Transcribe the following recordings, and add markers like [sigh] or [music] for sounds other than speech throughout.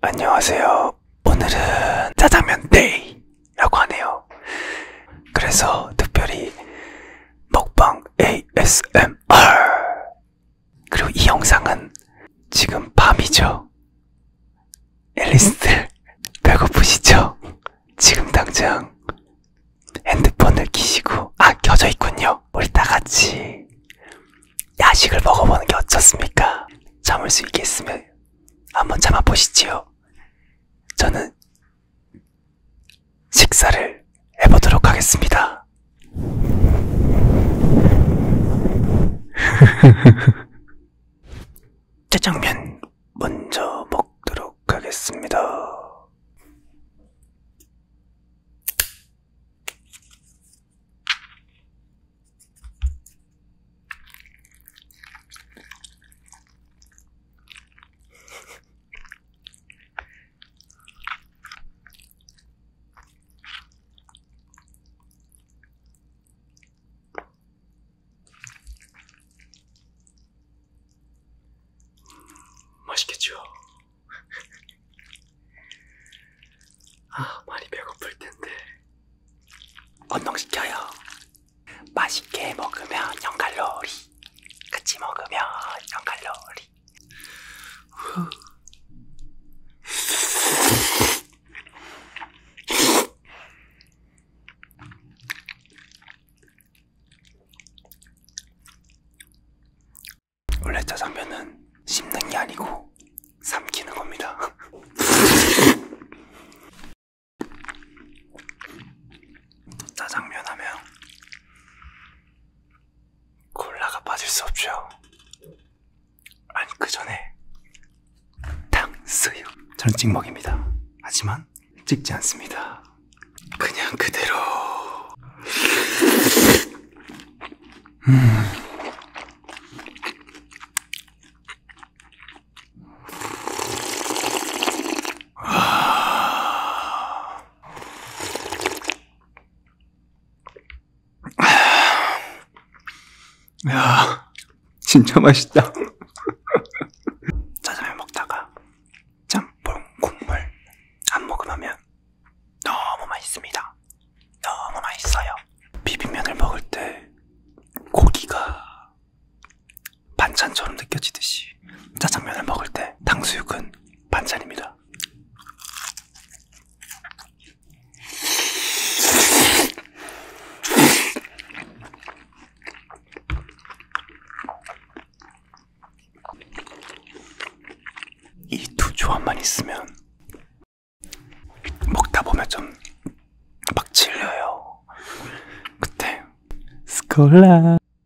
안녕하세요. 오늘은 짜장면 데이! 라고 하네요. 그래서 특별히 먹방 ASMR! 그리고 이 영상은 지금 밤이죠. 앨리스들 [laughs] 배고프시죠? 지금 당장 핸드폰을 키시고 아 켜져 있군요. 우리 다 같이 야식을 먹어보는 게 어떻습니까? 참을 수 있겠으면 한번 참아보시지요. 저는 식사를 해보도록 하겠습니다. 짜장면 [laughs] 먼저 먹도록 하겠습니다. 맛있겠죠? 아, 많이 배고플 텐데. 언능 시켜요. 맛있게 먹으면 0칼로리. 같이 먹으면 0칼로리. 원래 짜장면은 씹는 게 아니고 삼키는 겁니다. 짜장면 [laughs] 하면 콜라가 빠질 수 없죠. 아니 그 전에 탕수육 저는 찍먹입니다. 하지만 찍지 않습니다. 그냥 그대로 음. 아... [sighs] 야, 진짜 맛있다. [laughs] 짜장면 먹다가 짬뽕 국물 안 먹으면 너무 맛있습니다. 너무 맛있어요. 비빔면을 먹을 때 고기가 반찬처럼 느껴지듯이 짜장면을 먹을 때 탕수육은 반찬입니다. 이 두 조합만 있으면 먹다 보면 좀 막 질려요. 그때 스콜라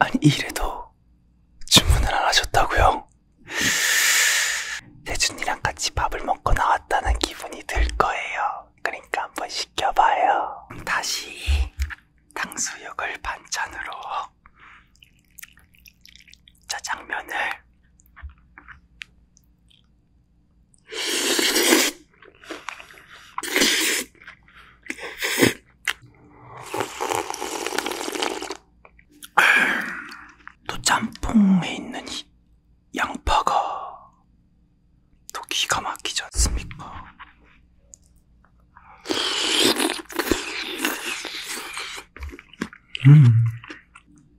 아니 이래도 주문을 안 하셨다고요? 세준이랑 같이 밥을 먹고 나왔다는 기분이 들 거예요. 그러니까 한번 시켜봐요. 다시 탕수육을 반찬으로 짜장면을 또 짬뽕에 있는 이 양파가 또 기가 막히지 않습니까? 음.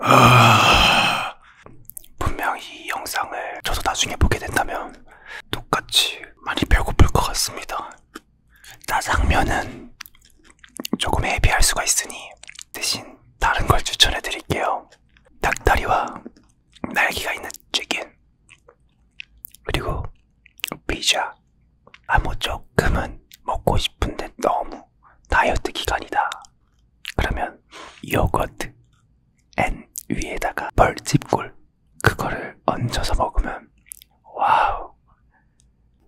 아... 분명히 이 영상을 저도 나중에 보게 된다면 똑같이 많이 배고플 것 같습니다. 짜장면은 조금 헤비할 수가 있으니 대신 다른 걸 추천해 드릴게요. 닭다리와 날개가 있는 치킨 그리고 피자 아무 뭐 조금은 먹고 싶은데 너무 다이어트 기간이다 그러면 요거트 앤 위에다가 벌집꿀 그거를 얹어서 먹으면 와우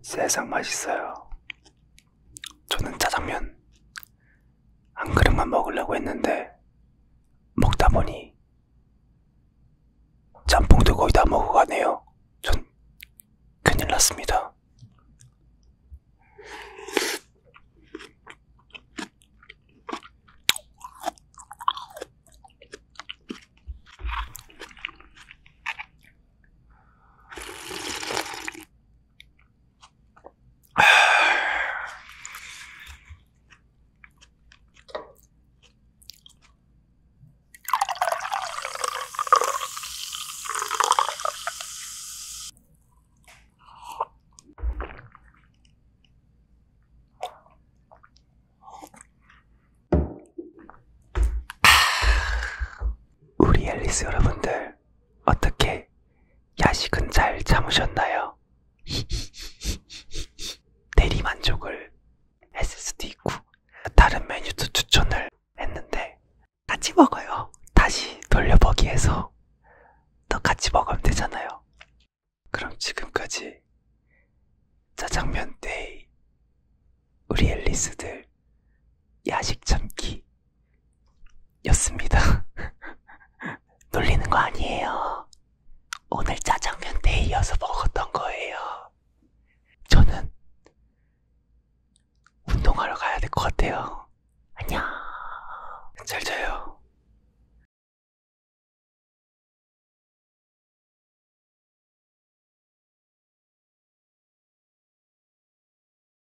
세상 맛있어요 저는 짜장면 한 그릇만 먹으려고 했는데 먹다 보니 짬뽕도 거의 다 먹어가네요. 전 큰일 났습니다. 우리 앨리스 여러분들 어떻게 야식은 잘 참으셨나요? [laughs] 대리만족을 했을 수도 있고 다른 메뉴도 추천을 했는데 같이 먹어요. 다시 돌려보기해서 또 같이 먹으면 되잖아요. 그럼 지금까지 짜장면 데이 우리 앨리스들 야식 참기 였습니다. [laughs] 놀리는 거 아니에요. 오늘 짜장면 때 이어서 먹었던 거예요. 저는 운동하러 가야 될 것 같아요. 안녕. 잘 자요.